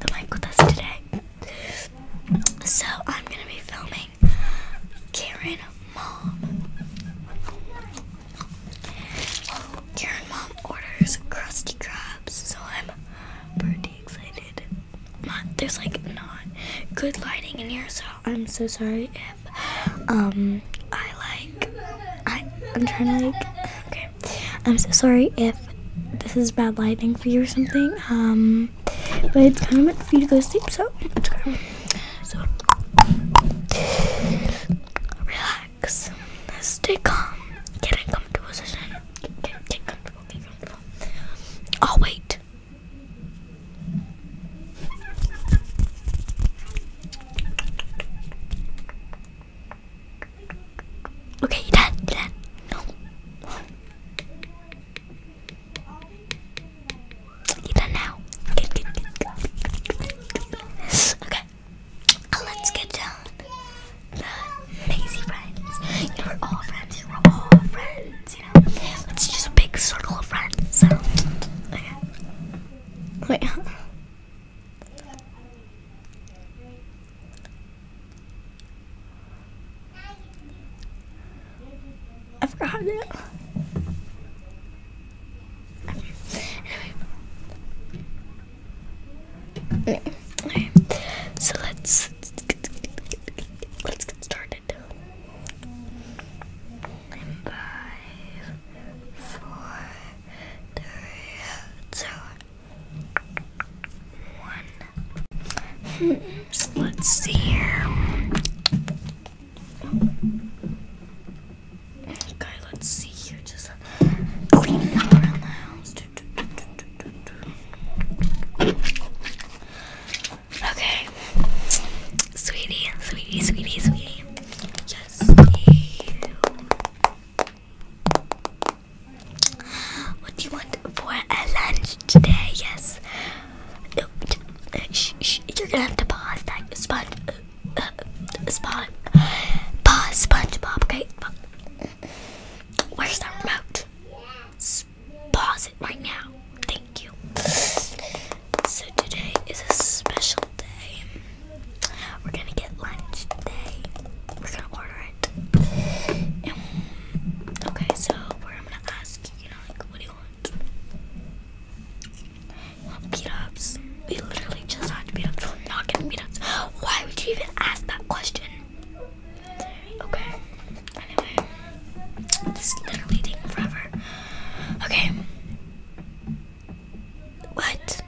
the Mike with us today. So I'm gonna be filming Karen Mom. Karen Mom orders crusty crabs, so I'm pretty excited. Not, there's like not good lighting in here, so I'm so sorry if um I like I I'm trying to like okay I'm so sorry if this is bad lighting for you or something. Um, but it's kind of meant for you to go to sleep, so let's go. relax. Stay calm. Get in comfortable position. Get comfortable. I'll oh, wait. Okay, you done, you done. No. You done now. Okay, Let's get down the Maisie friends. You know, we're all friends. You are all friends. You know, it's just a big circle of friends. So, Wait. I forgot it. So let's let's get started. five, four, three, two one. Let's see here. Okay, let's see here. Just cleaning around the house. Okay, sweetie, sweetie, sweetie, sweetie. Just what do you want for a lunch today? Yes. No, sh sh you're gonna have to pause that sponge. Uh, uh, sponge. Pause, SpongeBob. Okay. Where's the remote? S pause it right now. Thank you. So today is a special day. We're gonna get lunch today. We're gonna order okay, so where I'm gonna ask you, you know, like, what do you want? You We literally just had beat ups. We're not getting beat ups. Why would you even ask that question? Okay. this is literally taking forever. Okay. What?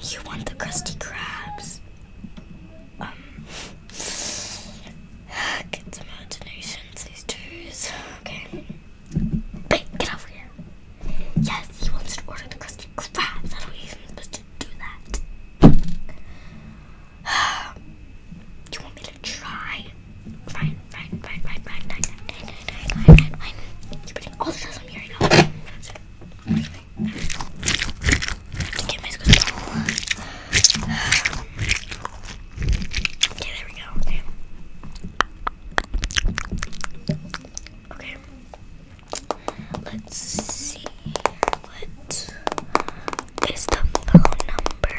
You want the crusty crabs? kids' imaginations, these twos. Okay. get over here. Yes, he wants to order the crusty crabs. How are we even supposed to do that? you want me to try? Fine, fine, fine, fine, fine, fine, fine, fine, fine, fine, fine, fine. you putting all the stress on me Ah. Okay, there we go. Okay. Let's see. What is the phone number?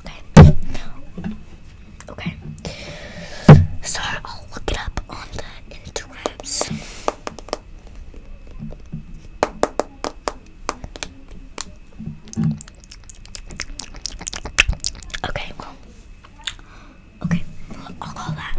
Okay. Okay. So I'll look it up on the interwebs. Okay, Okay, I'll call that.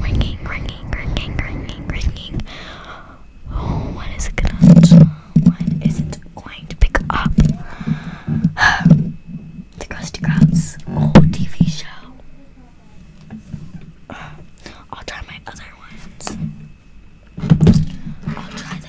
Ringing, ringing, ringing, ringing, ringing. Oh, what is it gonna What is it going to pick up? the Krusty Krabs old TV show. I'll try my other ones. I'll try the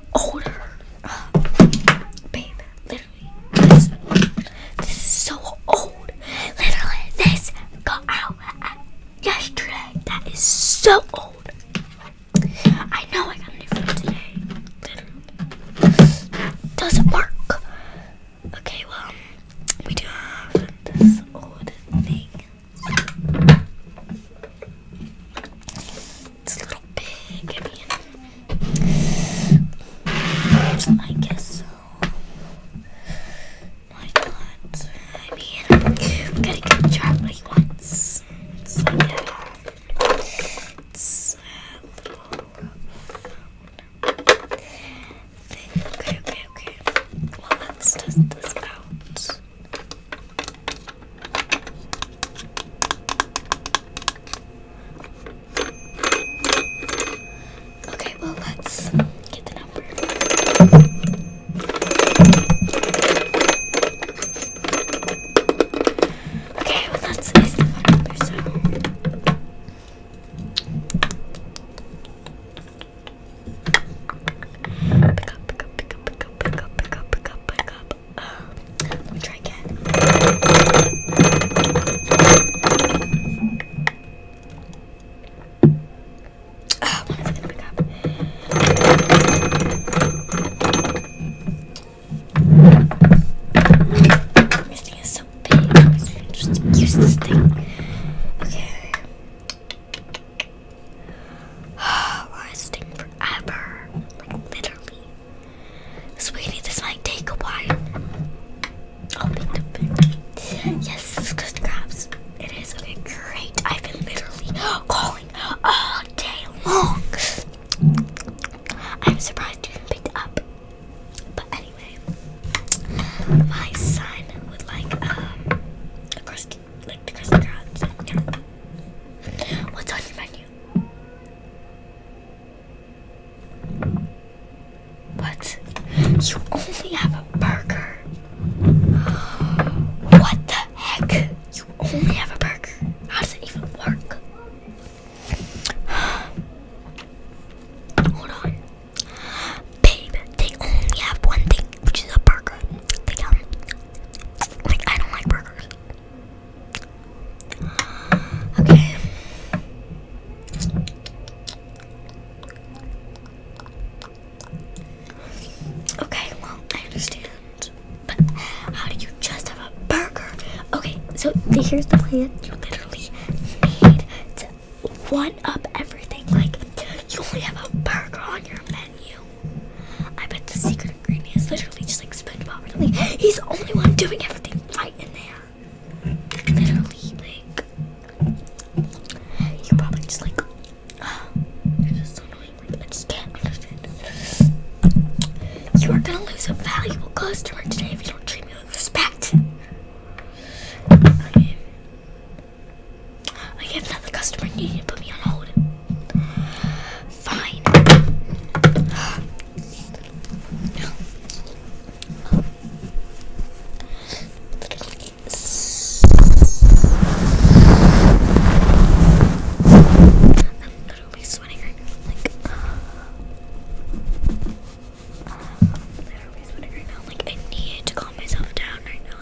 older. Um, babe, literally, this, is so old. Literally, this got out yesterday. That is so old. I know I got a new phone today. Doesn't work. Okay, well, we do have this old thing. It's a little big, I guess so. Why not? I mean, gotta give the child like a, Okay, okay, okay. Well, let's test this out. Okay, well, let's get the number. Okay, well, that's is the number, so. Pick up, pick up, pick up, pick up, pick up, pick up, pick up, pick up, uh, let me try again. Ah, uh, gonna pick up. This thing is so big. Just use this thing. Okay. Lasting forever. Like, literally. Sweetie, this might take a while. Yes, it's good crabs. It is. Okay, great. I've been literally calling all day long. I'm surprised you even picked it up. But anyway, my son would like um, like the crust crowds. What's on your menu? What? You only have a burger. What the heck? You only have a burger. How does it even work? Hold on. Babe, they only have one thing, which is a burger like I don't like burgers. Okay. Okay, well, I understand. But how do you just have a burger? Okay, so here's the plan. You literally need to one up everything. Like, you only have a burger on your menu menu. I bet the secret ingredient is literally just like SpongeBob. Really, he's the only one doing everything right in there. Literally, like you probably just like. Oh, this is so annoying. I just can't understand. You are gonna lose a valuable customer today if you don't treat me with respect. I have another customer you need to put me on hold. Fine. I'm literally sweating right now. Like, I'm literally sweating right now. Like, I need to calm myself down right now.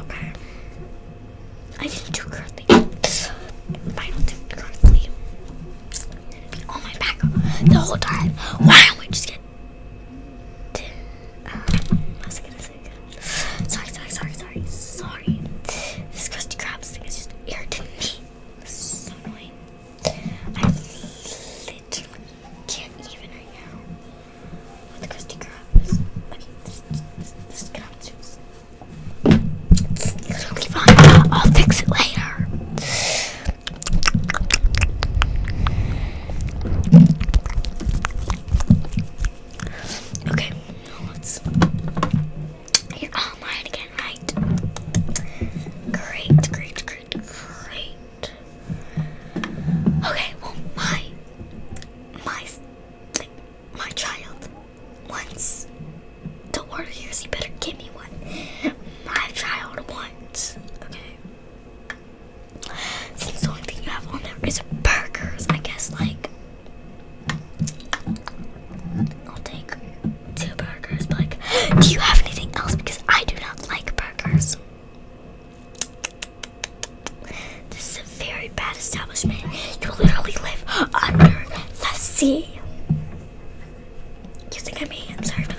Okay. I didn't do currently. I don't do my back the whole time. Wow, I just get. Sorry, sorry, sorry, sorry, sorry. This crusty crabs thing is just irritating so annoying. I can't even with Krusty Krabs. Okay, this, this, is crab juice. be fine. I'll fix it later. Okay, now let You're all mine again, right? Great, great, great, great. Okay, well, my my like my child wants the Warriors. You better give me one. My child wants. Okay. Since the only thing you have on there is burgers, I guess like I'll take two burgers. But like, do you have anything else? Because I do not like burgers. This is a very bad establishment. You literally live under the sea. You think I'm being observed?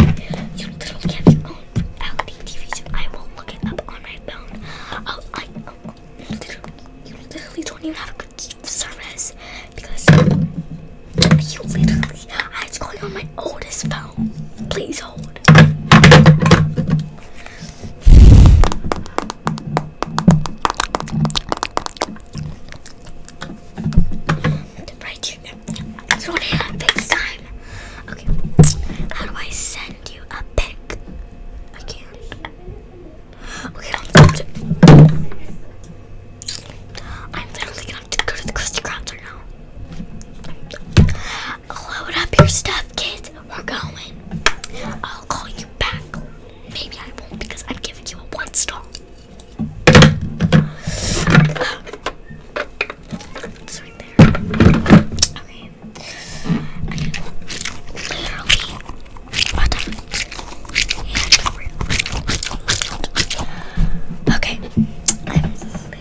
Okay. You literally have your own reality TV show. I will look it up on my phone. Oh, I, oh. You, literally, don't even have a good service because you literally, I had to call you on my oldest phone. Please hold. Oh board. The right trigger. It's one hand big time. Okay. How do I send you a pic? I can't. Okay, I'll do it. I'm literally gonna have to go to the crystal Krabs right now. Load up your stuff, kids. We're going. I'll call you back. Maybe I won't because I'm giving you a one star. Um, okay.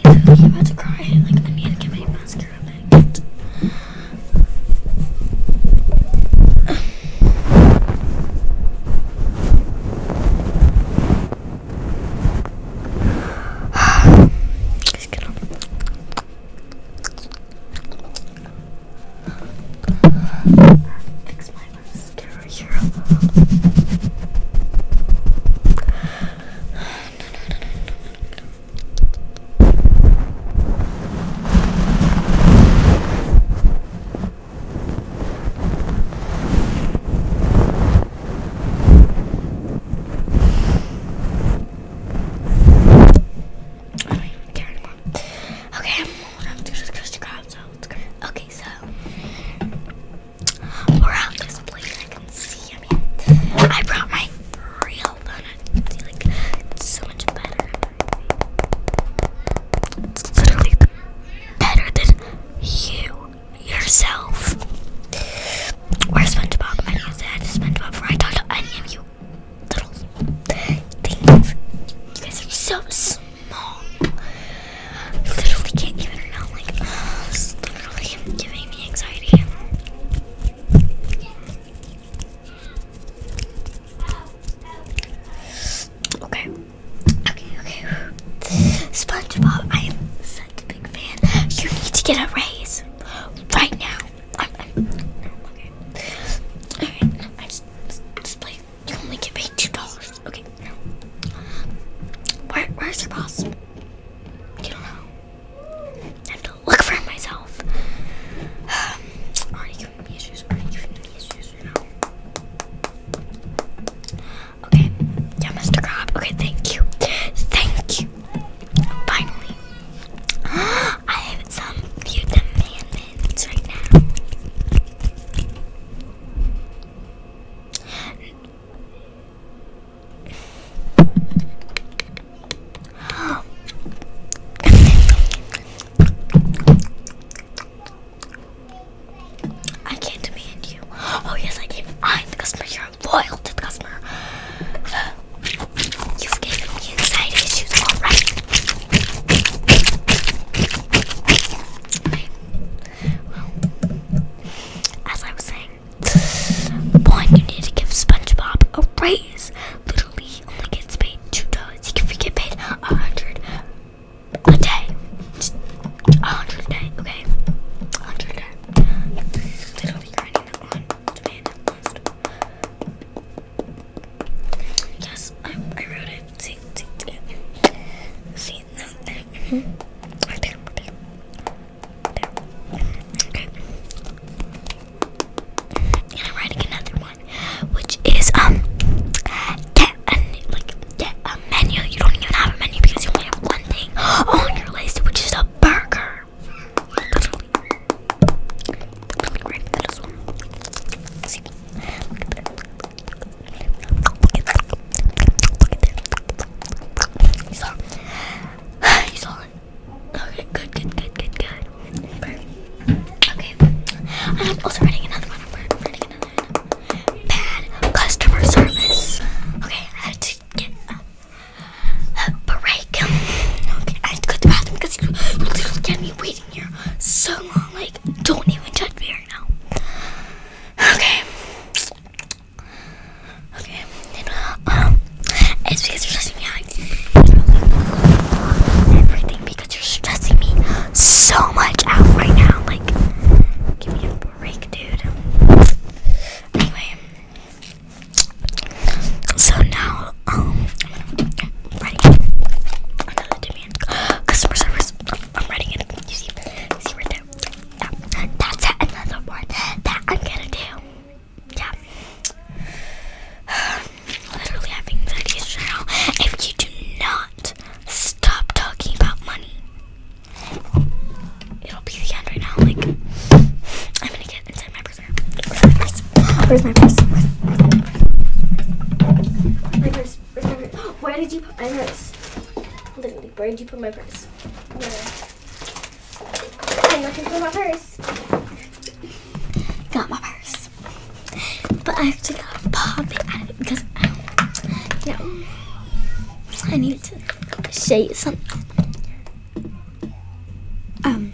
I'm about to cry. Like, I need to get my mascara next. Just get Fix my mascara Okay, I'm old enough to discuss the crowd, so it's good. Okay, so around this place I can see. I mean, I brought my real donut. See, like, so much better. It's literally better than you yourself. Or SpongeBob. I didn't say I just SpongeBob before I talked to any of you little things. You guys are so small. Literally can't give it Like, uh, literally giving me anxiety. Okay. Okay, okay. SpongeBob, I am such a big fan. You need to get a raise right now. I'm, okay. Alright, I just, just like, you only get paid $2. Okay, Where, where's your boss? You don't know and look for myself. Okay, yeah, Mr. Crab. Okay, thank you. Thank you. Finally, I have some few commandments right now. I can't demand you. Oh yes, I can. I'm the customer. You're a loyal to the customer. You've given me anxiety issues, all right? Well, as I was saying, one, you need to give SpongeBob a raise. Literally, only gets paid two dollars. He can get paid a hundred a day. A hundred a day, okay? A hundred a day. Literally grinding that one demand list. Yes, I, I wrote it. See, see, see. See, no, hmm? right there, right there. And I'm writing another one, which is um, get like get a menu. You don't even have a menu because you only have one thing on your list, which is a burger. He's all okay. Good, good, good, good, good. Perfect. Okay. I'm also writing another one. I'm writing another one. Bad customer service. Okay, I had to get a, break. Okay, I had to go to bathroom because you literally get me waiting here so long. Like, don't even touch me right now. Okay. Okay. um, it's because you're stressing me out. Everything because you're stressing me so much out right now. Like, give me a break, dude. Anyway, so now, um, customer service. I'm writing it. You see, see right there yeah, that's another one that I'm gonna do. Yeah. I'm literally having videos now. If you do not stop talking about money, it'll be the end right now. Like, I'm gonna get inside my purse. Where's my purse? Where's my purse? Where's my purse? Where's my purse? Where did you put my purse? Literally, where did you put my purse? Where? I'm looking for my purse. Got my purse. But I actually gotta pop it out of it because you I need to say something. Um,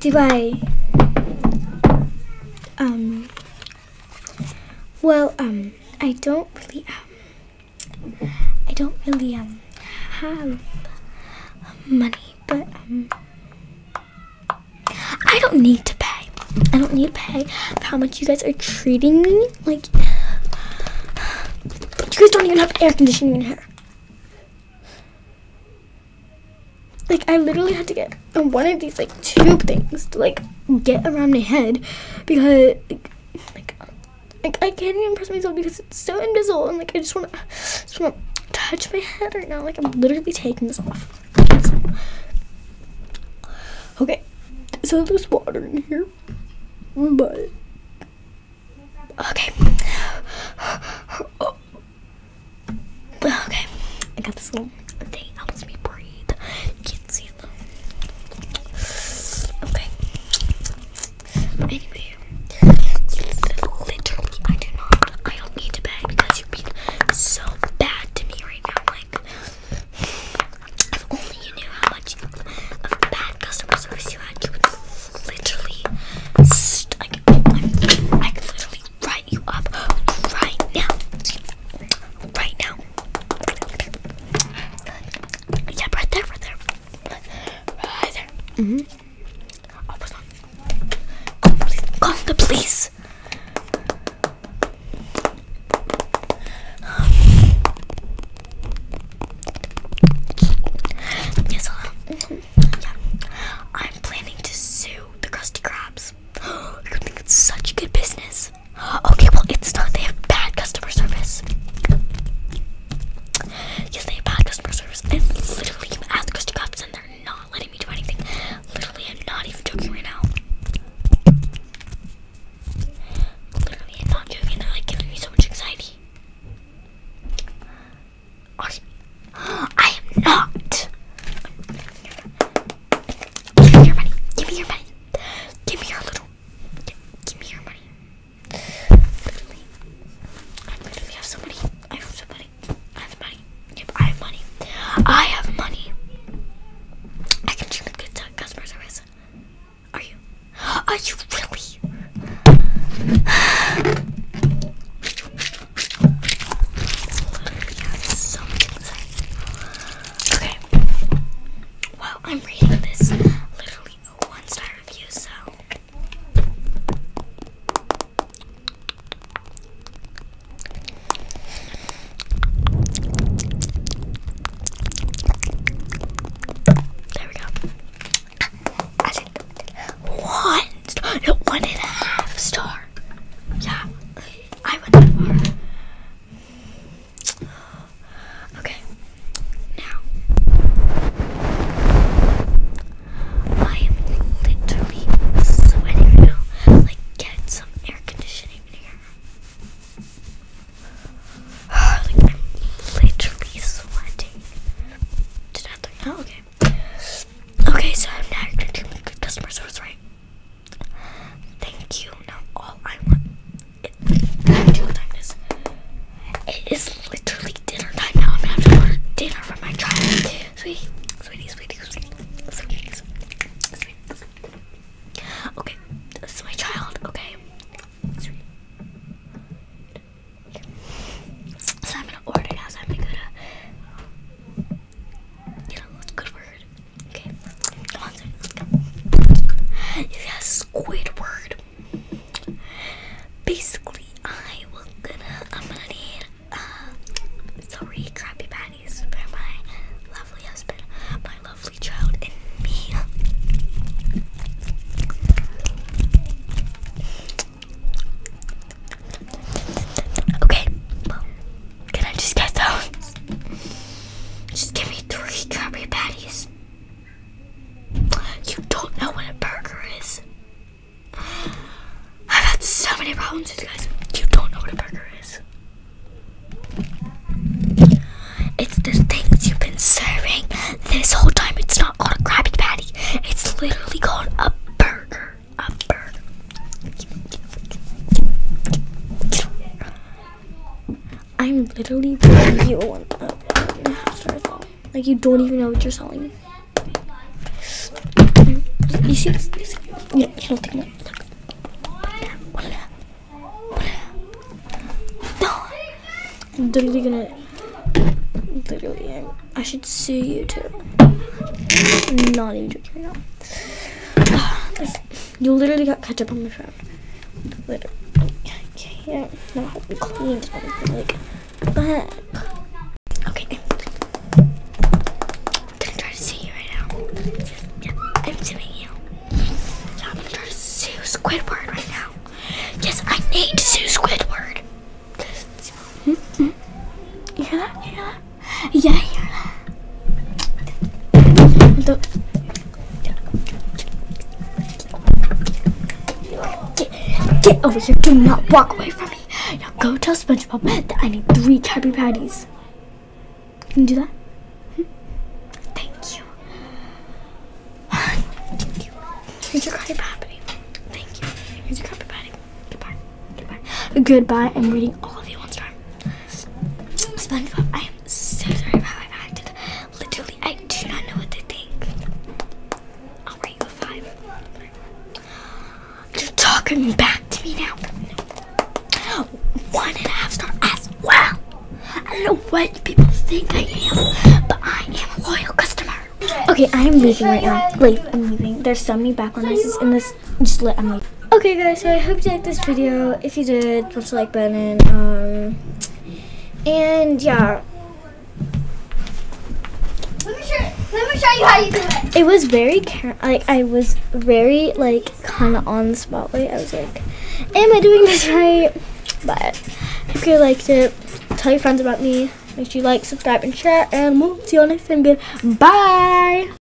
do I, um, well, um, I don't really, um, I don't really, um, have money, but, um, I don't need to pay. I don't need to pay for how much you guys are treating me. Like, you guys don't even have air conditioning in here. Like, I literally had to get like one of these like tube things to like get around my head because like, like, I can't even press myself because it's so invisible and like I just want to just want to touch my head right now. Like I'm literally taking this off. Okay, so there's water in here, but okay. Oh. okay, I got this one they helps me breathe. can't see it Okay. Anyway, literally, I do not. I don't need to beg because you're being so bad to me right now. Like, if only you knew how much of bad customer service you had, you would literally. St I could literally write you up right now. Right now. Yeah, right there, right there. Right there. hmm Oh, what's on? Yes, hello. -hmm. Yeah. I'm planning to sue the Krusty Krabs. I such good business. Okay, well, it's not. They have bad customer service. Yes, they have bad customer service. I literally am at the Krusty and they're not letting me do anything. Literally, I'm not even joking right now. Literally, I'm not joking. They're like giving me so much anxiety. I am not. Give me your money. Give me your money. Give me your little. Give me your money. Literally, I literally have so money. I have so money. I have money. Yep, I have money. I have money. I can treat good customer service. Are you? Are you really? I literally have so much to say. Okay. Well, I'm reading this literally a one star review, so. There we go. I think one star, one and a half star. Yeah, I went that far. Okay, now I am literally sweating now. Like, get some air conditioning here. like, I'm literally sweating. Did I? Oh, okay. Okay, so I'm now going to do my good customer service, right? Thank you. Now all I want it, dinner time is it is literally dinner time now. I'm gonna have to order dinner for my child. Sweetie, sweetie, sweetie, sweetie, sweetie, sweetie, sweetie. Okay, this is my child. Okay, So I'm gonna order now. So I'm gonna, go a good word? Okay, Yes, Squidward. Basically, I will gonna I'm gonna need uh, three crappy patties for my lovely husband, my lovely child, and me. Okay, can I just get those? Just give me three Krabby Patties. You don't know what a burger is. I've had so many problems with you guys. You don't know what a burger is. It's the things you've been serving this whole time. It's not called a Krabby Patty. It's literally called a burger. A burger. I'm literally giving you one and a half star phone. Like you don't even know what you're selling. You see, this? Yeah, don't think that. I'm literally gonna. Literally, i should sue you too. not even joking right now. You literally got ketchup on my phone. Literally. I can't. No, I haven't cleaned anything. Like, what the heck? Okay. I'm gonna try to see you right now. Just, yeah, I'm suing you. Yeah, I'm gonna try to sue Squidward right now. Yes, I need to sue Squidward. Hmm? Hmm? You hear that? You hear that? yeah, get, get over here do not walk away from me now go tell spongebob that i need three Krabby patties can you do that hmm? thank you here's your Krabby patty thank you here's your Krabby patty goodbye goodbye goodbye i'm reading all of you one time SpongeBob, I am so sorry about how I acted. Literally, I do not know what to think. I'll you five. You're talking back to me now. One and a half star as well. I don't know what people think I am, but I am a loyal customer. Okay, I am leaving right now. Like, I'm leaving. There's so many background noises in this guys. Just let Emily. Okay, guys, so I hope you liked this video. If you did, push the like button. Um, and yeah. Let me, show, let me show you how you do it. It was very, like, I was very, like, kind of on the spotlight. I was like, am I doing this right? But if you liked it, tell your friends about me. Make sure you like, subscribe, and share. And we'll see you on next time. Bye.